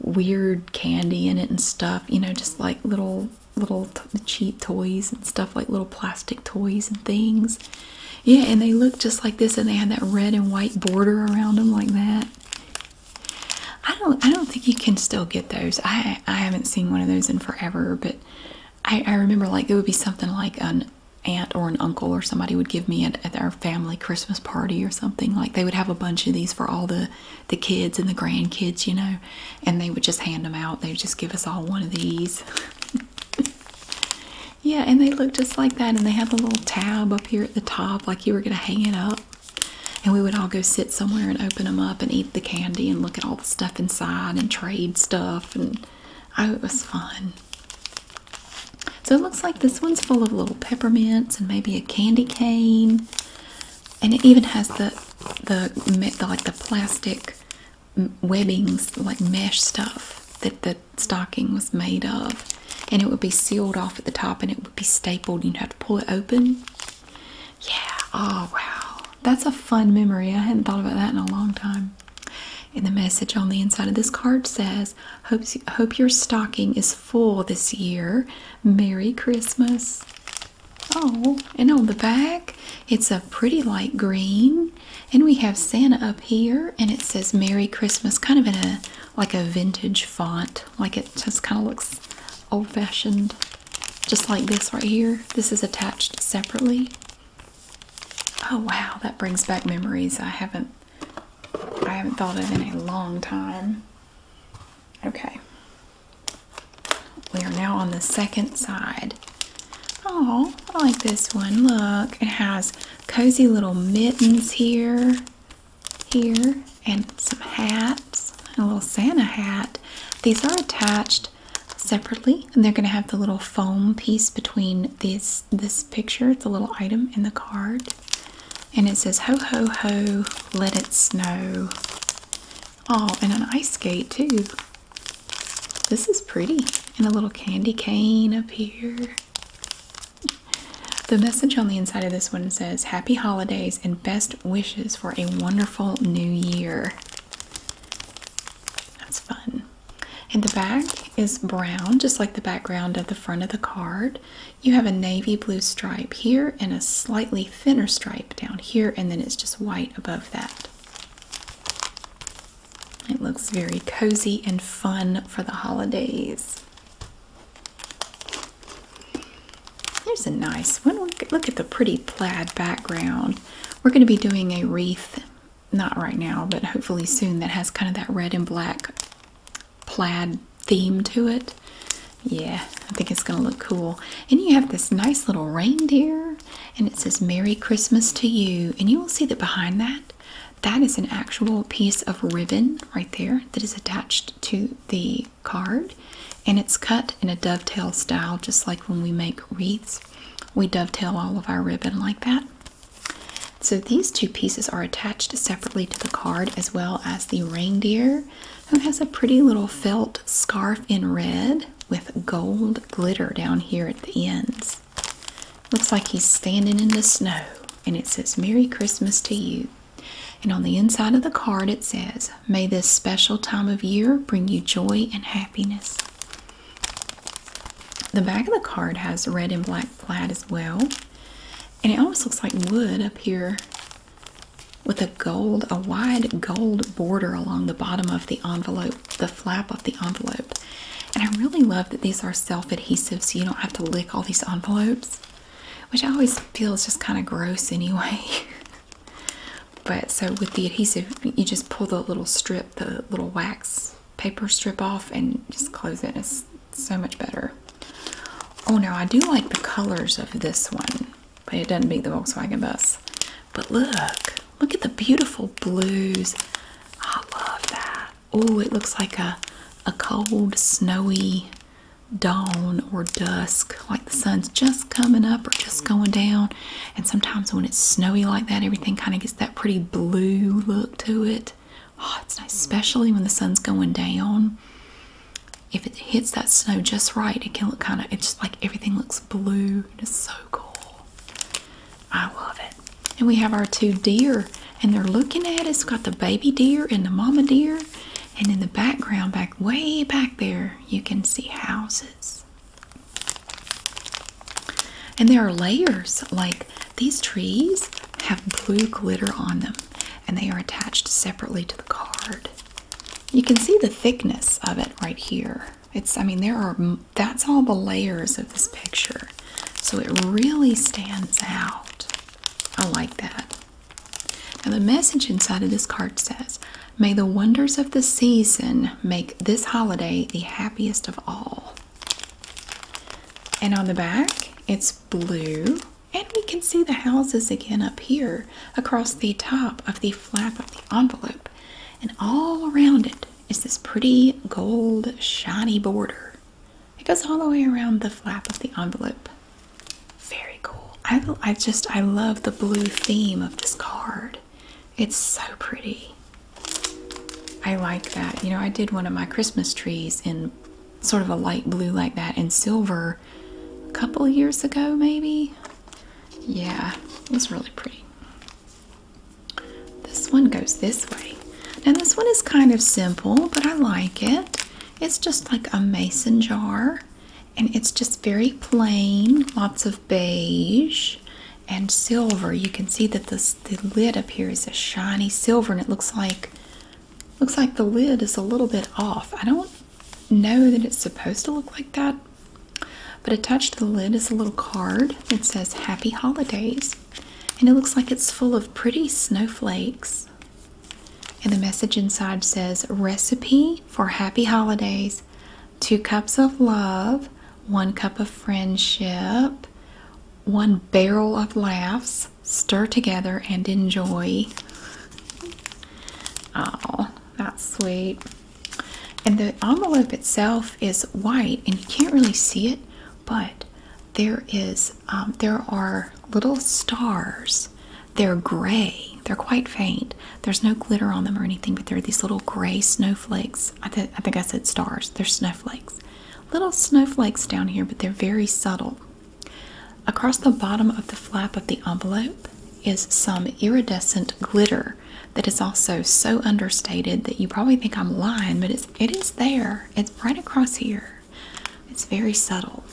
weird candy in it and stuff, you know, just like little little cheap toys and stuff like little plastic toys and things. Yeah, and they look just like this, and they had that red and white border around them like that. I don't I don't think you can still get those. I I haven't seen one of those in forever, but I, remember like it would be something like an aunt or an uncle or somebody would give me at, their family Christmas party or something. Like they would have a bunch of these for all the the kids and the grandkids, you know, and they would just hand them out. They would just give us all one of these. yeah, and they look just like that, and they have the little tab up here at the top, like you were going to hang it up. And we would all go sit somewhere and open them up and eat the candy and look at all the stuff inside and trade stuff. And oh, it was fun. So it looks like this one's full of little peppermints and maybe a candy cane and it even has the the, like the plastic webbings, like mesh stuff that the stocking was made of, and it would be sealed off at the top, and it would be stapled. You'd have to pull it open. Yeah. Oh wow, that's a fun memory. I hadn't thought about that in a long time. And the message on the inside of this card says, hope your stocking is full this year. Merry Christmas." Oh, and on the back, it's a pretty light green. And we have Santa up here, and it says Merry Christmas, kind of in a like a vintage font. Like it just kind of looks old fashioned, just like this right here. This is attached separately. Oh wow, that brings back memories I haven't I haven't thought of in a long time. Okay. We are now on the second side. Oh, I like this one. Look, it has cozy little mittens here, here, and some hats, a little Santa hat. These are attached separately, and they're going to have the little foam piece between this this picture, the little item in the card, and it says "Ho ho ho, let it snow." Oh, and an ice skate too. This is pretty. And a little candy cane up here. The message on the inside of this one says Happy Holidays and best wishes for a wonderful new year. That's fun. And the back is brown, just like the background of the front of the card. You have a navy blue stripe here and a slightly thinner stripe down here, and then it's just white above that. It looks very cozy and fun for the holidays. Here's a nice one. Look at the pretty plaid background. We're going to be doing a wreath, not right now, but hopefully soon, that has kind of that red and black plaid theme to it yeah i think it's gonna look cool and you have this nice little reindeer and it says merry christmas to you and you will see that behind that that is an actual piece of ribbon right there that is attached to the card and it's cut in a dovetail style just like when we make wreaths we dovetail all of our ribbon like that so these two pieces are attached separately to the card as well as the reindeer who has a pretty little felt scarf in red with gold glitter down here at the ends. Looks like he's standing in the snow and it says, Merry Christmas to you. And on the inside of the card it says, May this special time of year bring you joy and happiness. The back of the card has red and black plaid as well. And it almost looks like wood up here with a gold, a wide gold border along the bottom of the envelope, the flap of the envelope. And I really love that these are self-adhesive so you don't have to lick all these envelopes, which I always feels just kind of gross anyway. but so with the adhesive, you just pull the little strip, the little wax paper strip off and just close it. It's so much better. Oh, now I do like the colors of this one but it doesn't beat the Volkswagen bus. But look, look at the beautiful blues. I love that. Oh, it looks like a a cold, snowy dawn or dusk, like the sun's just coming up or just going down. And sometimes when it's snowy like that, everything kind of gets that pretty blue look to it. Oh, it's nice, mm. especially when the sun's going down if it hits that snow just right, it can look kind of, it's just like everything looks blue. It's so cool. I love it. And we have our two deer, and they're looking at us. Got the baby deer and the mama deer. And in the background, back way back there, you can see houses. And there are layers, like these trees have blue glitter on them, and they are attached separately to the card. You can see the thickness of it right here. It's, I mean, there are, that's all the layers of this picture. So it really stands out. I like that. Now, the message inside of this card says, May the wonders of the season make this holiday the happiest of all. And on the back, it's blue. And we can see the houses again up here across the top of the flap of the envelope, and all around it is this pretty gold, shiny border. It goes all the way around the flap of the envelope. Very cool. I, I just, I love the blue theme of this card. It's so pretty. I like that. You know, I did one of my Christmas trees in sort of a light blue like that and silver a couple years ago, maybe. Yeah, it was really pretty. This one goes this way. Now, this one is kind of simple, but I like it. It's just like a mason jar, and it's just very plain, lots of beige and silver. You can see that this, the lid up here is a shiny silver, and it looks like looks like the lid is a little bit off. I don't know that it's supposed to look like that, but attached to the lid is a little card that says Happy Holidays, and it looks like it's full of pretty snowflakes. And the message inside says Recipe for Happy Holidays Two cups of love, one cup of friendship, one barrel of laughs, stir together and enjoy. Oh, that's sweet. And the envelope itself is white, and you can't really see it, but there is um, there are little stars. They're gray. They're quite faint. There's no glitter on them or anything, but there are these little gray snowflakes. I think I said stars. They're snowflakes. Little snowflakes down here, but they're very subtle. Across the bottom of the flap of the envelope is some iridescent glitter that is also so understated that you probably think I'm lying, but it's, it is there. It's right across here. It's very subtle.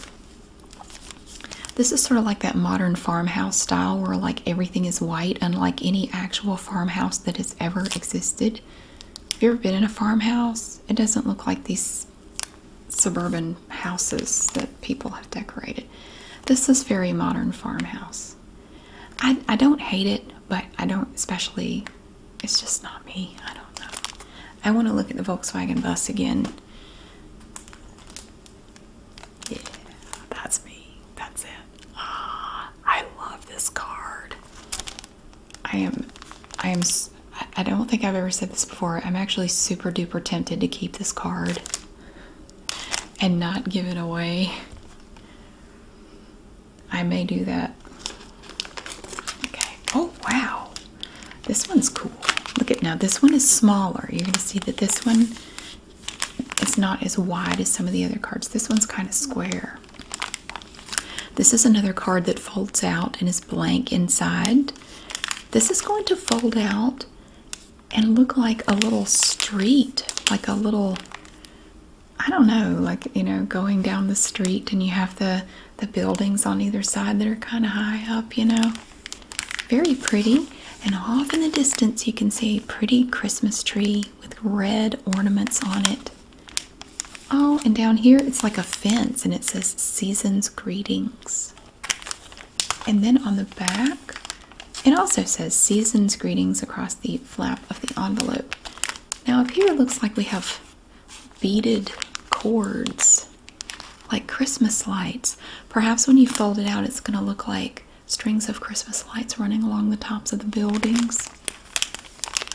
This is sort of like that modern farmhouse style where like everything is white, unlike any actual farmhouse that has ever existed. If you've ever been in a farmhouse, it doesn't look like this suburban houses that people have decorated. This is very modern farmhouse. I, I don't hate it, but I don't especially, it's just not me. I don't know. I want to look at the Volkswagen bus again. Yeah, that's me. That's it. Ah, I love this card. I am, I am, I don't think I've ever said this before. I'm actually super duper tempted to keep this card and not give it away. I may do that. Okay. Oh, wow. This one's cool. Look at now, this one is smaller. You're going to see that this one is not as wide as some of the other cards. This one's kind of square. This is another card that folds out and is blank inside. This is going to fold out and look like a little street, like a little I don't know, like you know, going down the street and you have the the buildings on either side that are kind of high up, you know. Very pretty. And off in the distance you can see a pretty Christmas tree with red ornaments on it. Oh, and down here it's like a fence and it says season's greetings. And then on the back, it also says season's greetings across the flap of the envelope. Now, up here it looks like we have beaded cords, like Christmas lights. Perhaps when you fold it out, it's going to look like strings of Christmas lights running along the tops of the buildings.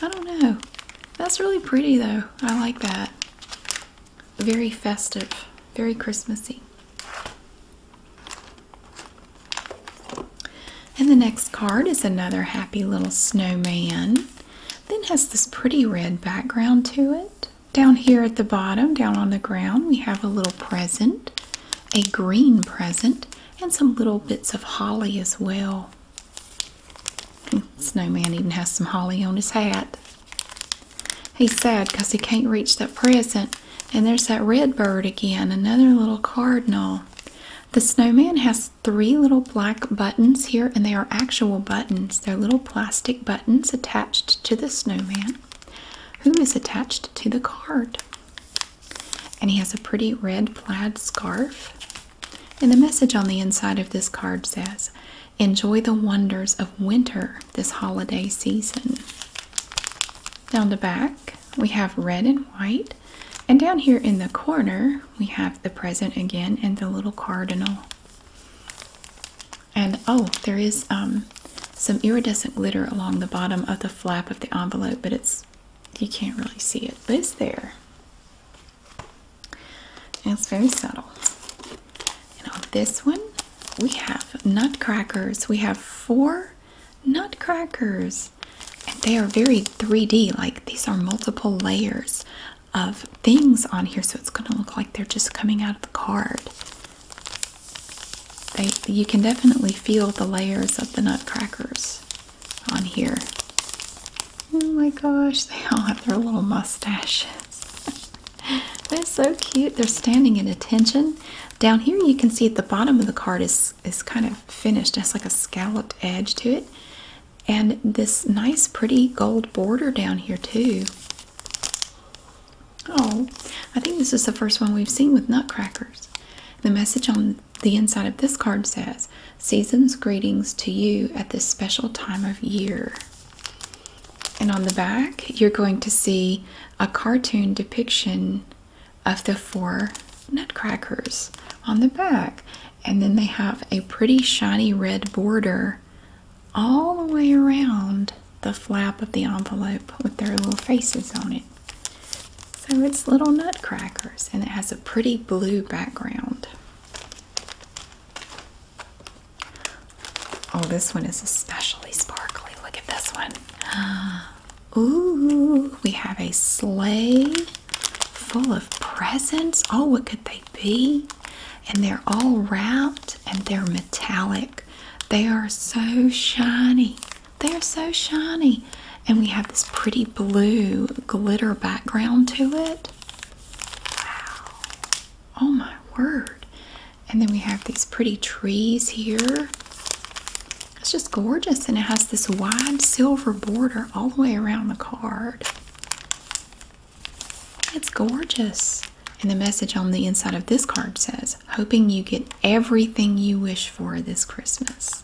I don't know. That's really pretty, though. I like that. Very festive, very Christmassy. And the next card is another happy little snowman. Then has this pretty red background to it. Down here at the bottom, down on the ground, we have a little present, a green present, and some little bits of holly as well. Snowman even has some holly on his hat. He's sad because he can't reach that present. And there's that red bird again, another little cardinal. The snowman has three little black buttons here, and they are actual buttons. They're little plastic buttons attached to the snowman, who is attached to the card. And he has a pretty red plaid scarf. And the message on the inside of this card says Enjoy the wonders of winter this holiday season. Down the back, we have red and white. And down here in the corner, we have the present again and the little cardinal. And oh, there is um, some iridescent glitter along the bottom of the flap of the envelope, but it's you can't really see it, but it's there. it's very subtle. And this one, we have nutcrackers. We have four nutcrackers. And they are very 3D, like these are multiple layers of things on here. So it's going to look like they're just coming out of the card. you can definitely feel the layers of the nutcrackers on here. Oh my gosh, they all have their little mustache. They're so cute. They're standing in attention. Down here you can see at the bottom of the card is is kind of finished. It's like a scalloped edge to it. And this nice pretty gold border down here too. Oh, I think this is the first one we've seen with nutcrackers. The message on the inside of this card says, Season's greetings to you at this special time of year. And on the back, you're going to see a cartoon depiction of the four nutcrackers on the back. And then they have a pretty shiny red border all the way around the flap of the envelope with their little faces on it. So it's little nutcrackers and it has a pretty blue background. Oh, this one is especially sparkly. Look at this one. Ooh, we have a sleigh full of presents. Oh, what could they be? And they're all wrapped and they're metallic. They are so shiny. They're so shiny. And we have this pretty blue glitter background to it. Wow. Oh my word. And then we have these pretty trees here. It's just gorgeous, and it has this wide silver border all the way around the card. It's gorgeous. And the message on the inside of this card says, hoping you get everything you wish for this Christmas.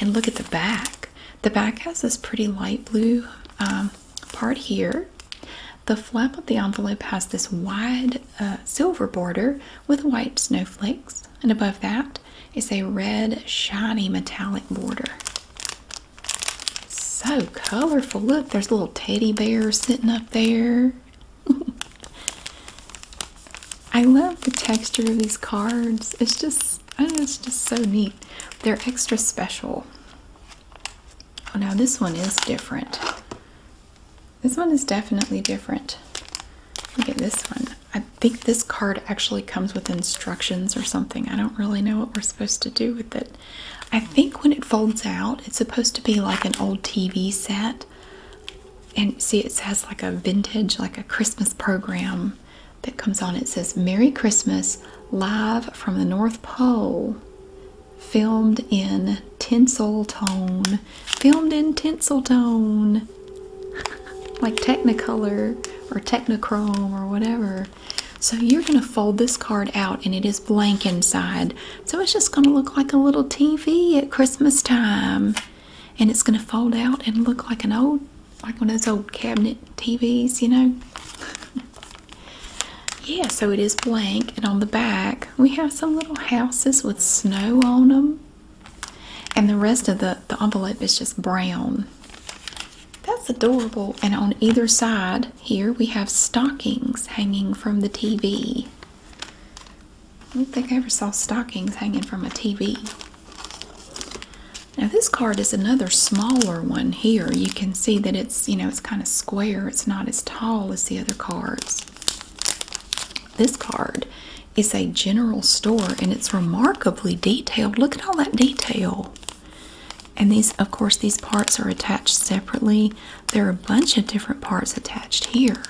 And look at the back. The back has this pretty light blue um, part here. The flap of the envelope has this wide uh, silver border with white snowflakes, and above that is a red, shiny metallic border. So colorful. Look, there's a little teddy bear sitting up there. I love the texture of these cards. It's just, I know, it's just so neat. They're extra special. Oh now this one is different. This one is definitely different. Look at this one. I think this card actually comes with instructions or something. I don't really know what we're supposed to do with it. I think when it folds out, it's supposed to be like an old TV set. And see, it has like a vintage, like a Christmas program that comes on. It says, Merry Christmas, live from the North Pole filmed in tinsel tone filmed in tinsel tone like technicolor or technichrome or whatever so you're going to fold this card out and it is blank inside so it's just going to look like a little tv at christmas time and it's going to fold out and look like an old like one of those old cabinet tvs you know Yeah, so it is blank, and on the back we have some little houses with snow on them, and the rest of the, envelope is just brown. That's adorable, and on either side here we have stockings hanging from the TV. I don't think I ever saw stockings hanging from a TV. Now, this card is another smaller one here. You can see that it's you know it's kind of square it's not as tall as the other cards this card is a general store and it's remarkably detailed look at all that detail and these of course these parts are attached separately there are a bunch of different parts attached here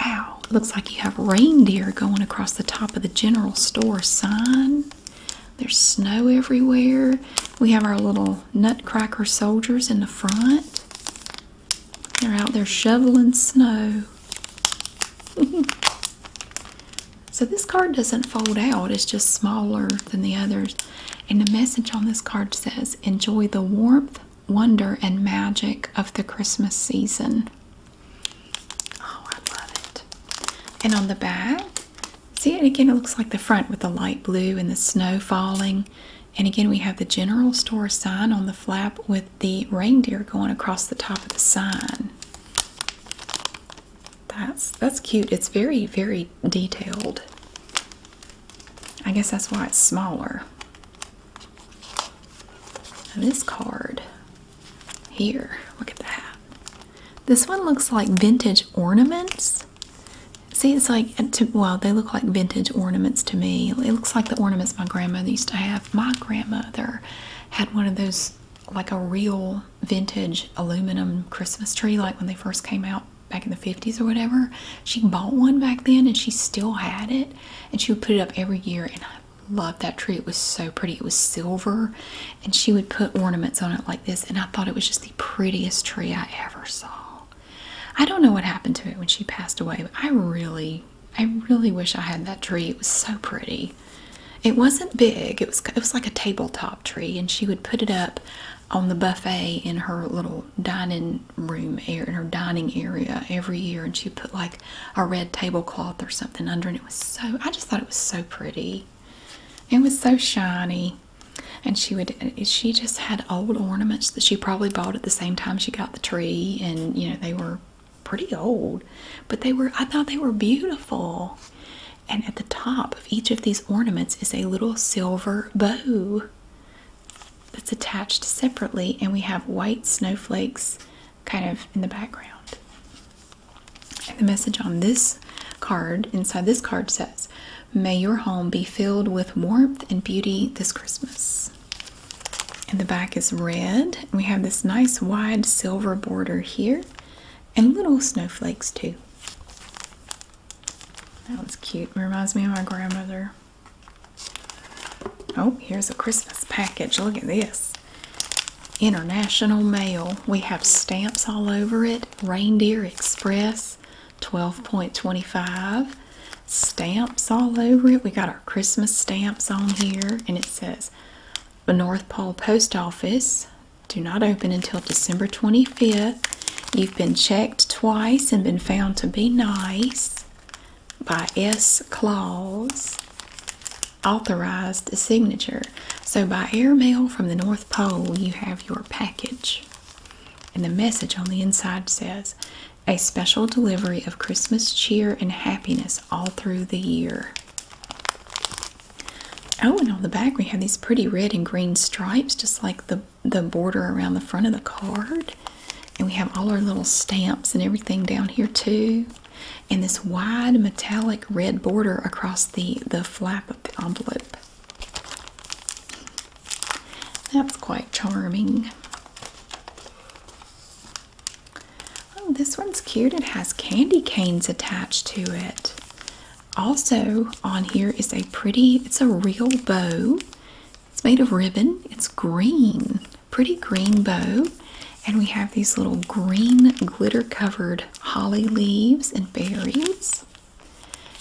wow looks like you have reindeer going across the top of the general store sign there's snow everywhere. We have our little nutcracker soldiers in the front. They're out there shoveling snow. so this card doesn't fold out. It's just smaller than the others. And the message on this card says, enjoy the warmth, wonder, and magic of the Christmas season. Oh, I love it. And on the back, See, it again, it looks like the front with the light blue and the snow falling. And again, we have the general store sign on the flap with the reindeer going across the top of the sign. That's that's cute. It's very, very detailed. I guess that's why it's smaller. this card here, look at that. This one looks like vintage ornaments. See, it's like, well, they look like vintage ornaments to me. It looks like the ornaments my grandmother used to have. My grandmother had one of those, like a real vintage aluminum Christmas tree, like when they first came out back in the 50s or whatever. She bought one back then and she still had it. And she would put it up every year. And I loved that tree. It was so pretty. It was silver. And she would put ornaments on it like this. And I thought it was just prettiest tree I ever saw. I don't know what happened to it when she passed away, but I really, I really wish I had that tree. It was so pretty. It wasn't big. It was it was like a tabletop tree, and she would put it up on the buffet in her little dining room area, in her dining area every year, and she put like a red tablecloth or something under, and it was so. I just thought it was so pretty. It was so shiny and she would she just had old ornaments that she probably bought at the same time she got the tree and you know they were pretty old but they were i thought they were beautiful and at the top of each of these ornaments is a little silver bow that's attached separately and we have white snowflakes kind of in the background and the message on this card inside this card says May your home be filled with warmth and beauty this Christmas. And the back is red. We have this nice wide silver border here and little snowflakes too. That was cute. Reminds me of my grandmother. Oh, here's a Christmas package. Look at this. International mail. We have stamps all over it. Reindeer Express. 12.25 stamps all over it. We got our Christmas stamps on here and it says the North Pole Post Office. Do not open until December 25th. You've been checked twice and been found to be nice by S. Claus. Authorized signature. So, by airmail from the North Pole, you have your package. And the message on the inside says, a special delivery of Christmas cheer and happiness all through the year. Oh, and on the back we have these pretty red and green stripes, just like the, the border around the front of the card. And we have all our little stamps and everything down here too. And this wide metallic red border across the, the flap of the envelope. That's quite charming. Oh, this one's cute. It has candy canes attached to it. Also, on here is a pretty, it's a real bow. It's made of ribbon. It's green, pretty green bow. And we have these little green glitter covered holly leaves and berries.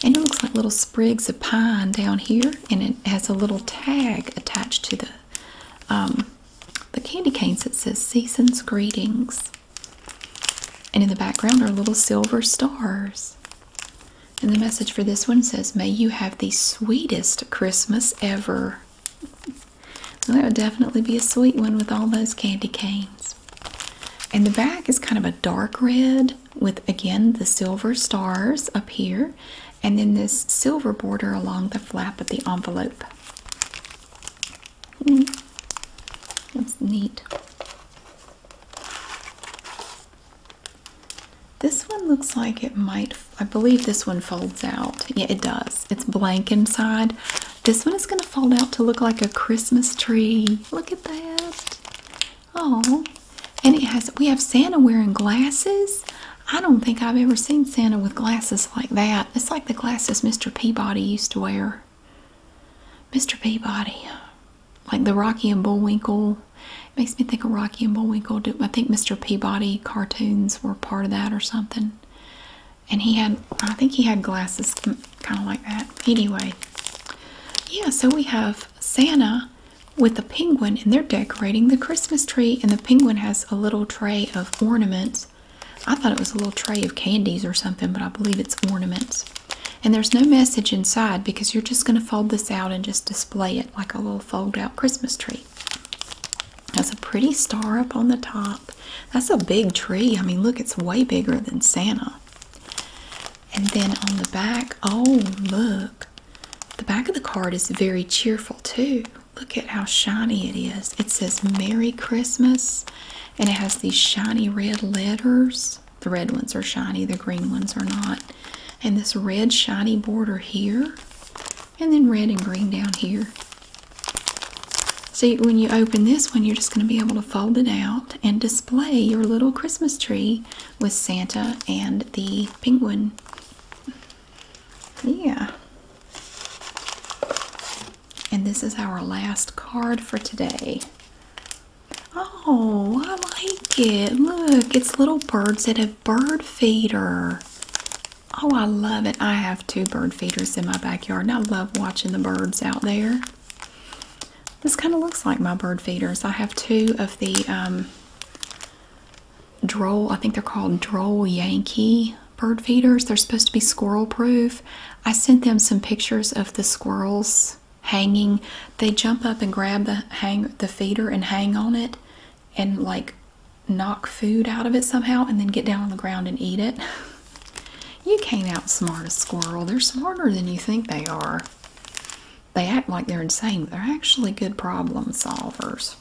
And it looks like little sprigs of pine down here, and it has a little tag attached to the um, the candy canes that says "Season's Greetings." And in the background are little silver stars. And the message for this one says, "May you have the sweetest Christmas ever." So that would definitely be a sweet one with all those candy canes. And the back is kind of a dark red, with again the silver stars up here and then this silver border along the flap of the envelope. Hmm. That's neat. This one looks like it might, I believe this one folds out. Yeah, it does. It's blank inside. This one is going to fold out to look like a Christmas tree. Look at that. Oh, and it has we have Santa wearing glasses. I don't think I've ever seen Santa with glasses like that. It's like the glasses Mr. Peabody used to wear. Mr. Peabody, like the Rocky and Bullwinkle. It makes me think of Rocky and Bullwinkle. I think Mr. Peabody cartoons were part of that or something. And he had, I think he had glasses kind of like that. Anyway, yeah, so we have Santa with the penguin and they're decorating the Christmas tree, and the penguin has a little tray of ornaments. I thought it was a little tray of candies or something, but I believe it's ornaments. And there's no message inside because you're just going to fold this out and just display it like a little fold out Christmas tree. Has a pretty star up on the top. That's a big tree. I mean, look, it's way bigger than Santa. And then on the back, oh, look, the back of the card is very cheerful too. Look at how shiny it is. It says Merry Christmas and it has these shiny red letters. The red ones are shiny, the green ones are not. And this red shiny border here, and then red and green down here. See, when you open this one, you're just going to be able to fold it out and just your little Christmas tree with Santa and the penguin. Yeah. And this is our last card for today. Oh, I like it. Look, it's little birds that have bird feeder. Oh, I love it. I have two bird feeders in my backyard and I love watching the birds out there. This kind of looks like my bird feeders. I have two of the um, droll, I think they're called droll Yankee bird feeders. They're supposed to be squirrel proof. I sent them some pictures of the squirrels hanging. They jump up and grab the hang the feeder and hang on it and like knock food out of it somehow and then get down on the ground and eat it. You can't outsmart a squirrel. They're smarter than you think they are. They act like they're insane, but they're actually good problem solvers.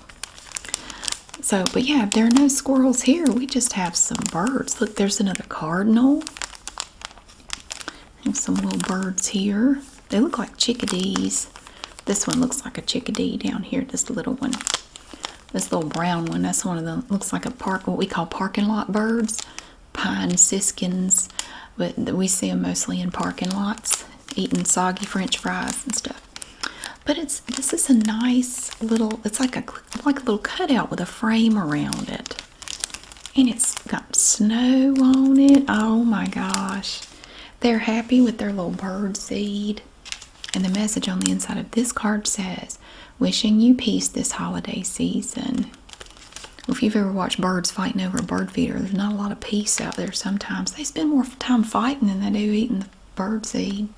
So, but yeah, if there are no squirrels here, we just have some birds. Look, there's another cardinal. And some little birds here. They look like chickadees. This one looks like a chickadee down here, this little one. This little brown one, that's one of the, looks like a park, what we call parking lot birds pine siskins, but we see them mostly in parking lots, eating soggy French fries and stuff. But it's this is a nice little. It's like a like a little cutout with a frame around it, and it's got snow on it. Oh my gosh! They're happy with their little bird seed. And the message on the inside of this card says, Wishing you peace this holiday season if you've ever watched birds fighting over a bird feeder, there's not a lot of peace out there sometimes. They spend more time fighting than they do eating the bird seed.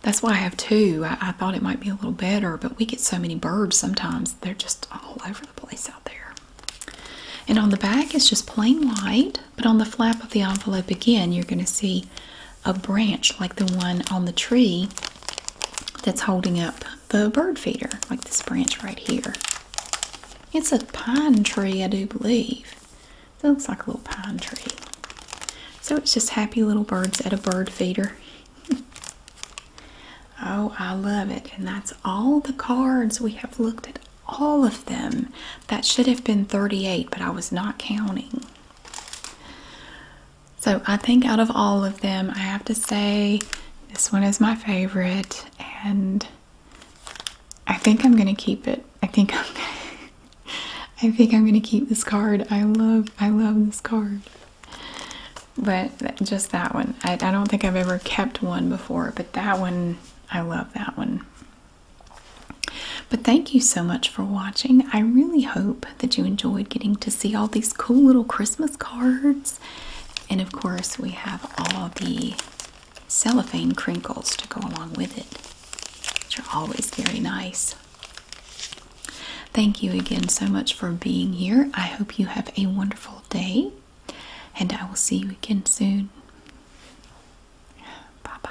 That's why I have two. I thought it might be a little better, but we get so many birds sometimes. They're just all over the place out there. And on the back, it's just plain white. But on the flap of the envelope, again, you're going to see a branch like the one on the tree that's holding up the bird feeder, like this branch right here. It's a pine tree, I do believe. It looks like a little pine tree. So it's just happy little birds at a bird feeder. oh, I love it. And that's all the cards. We have looked at all of them. That should have been 38, but I was not counting. So I think out of all of them, I have to say this one is my favorite, and I think I'm gonna keep it. I think I'm. Gonna I think I'm gonna keep this card. I love, I love this card. But just that one. I don't think I've ever kept one before, but that one, I love that one. But thank you so much for watching. I really hope that you enjoyed getting to see all these cool little Christmas cards and of course, we have all the cellophane crinkles to go along with it, which are always very nice. Thank you again so much for being here. I hope you have a wonderful day, and I will see you again soon. Bye bye.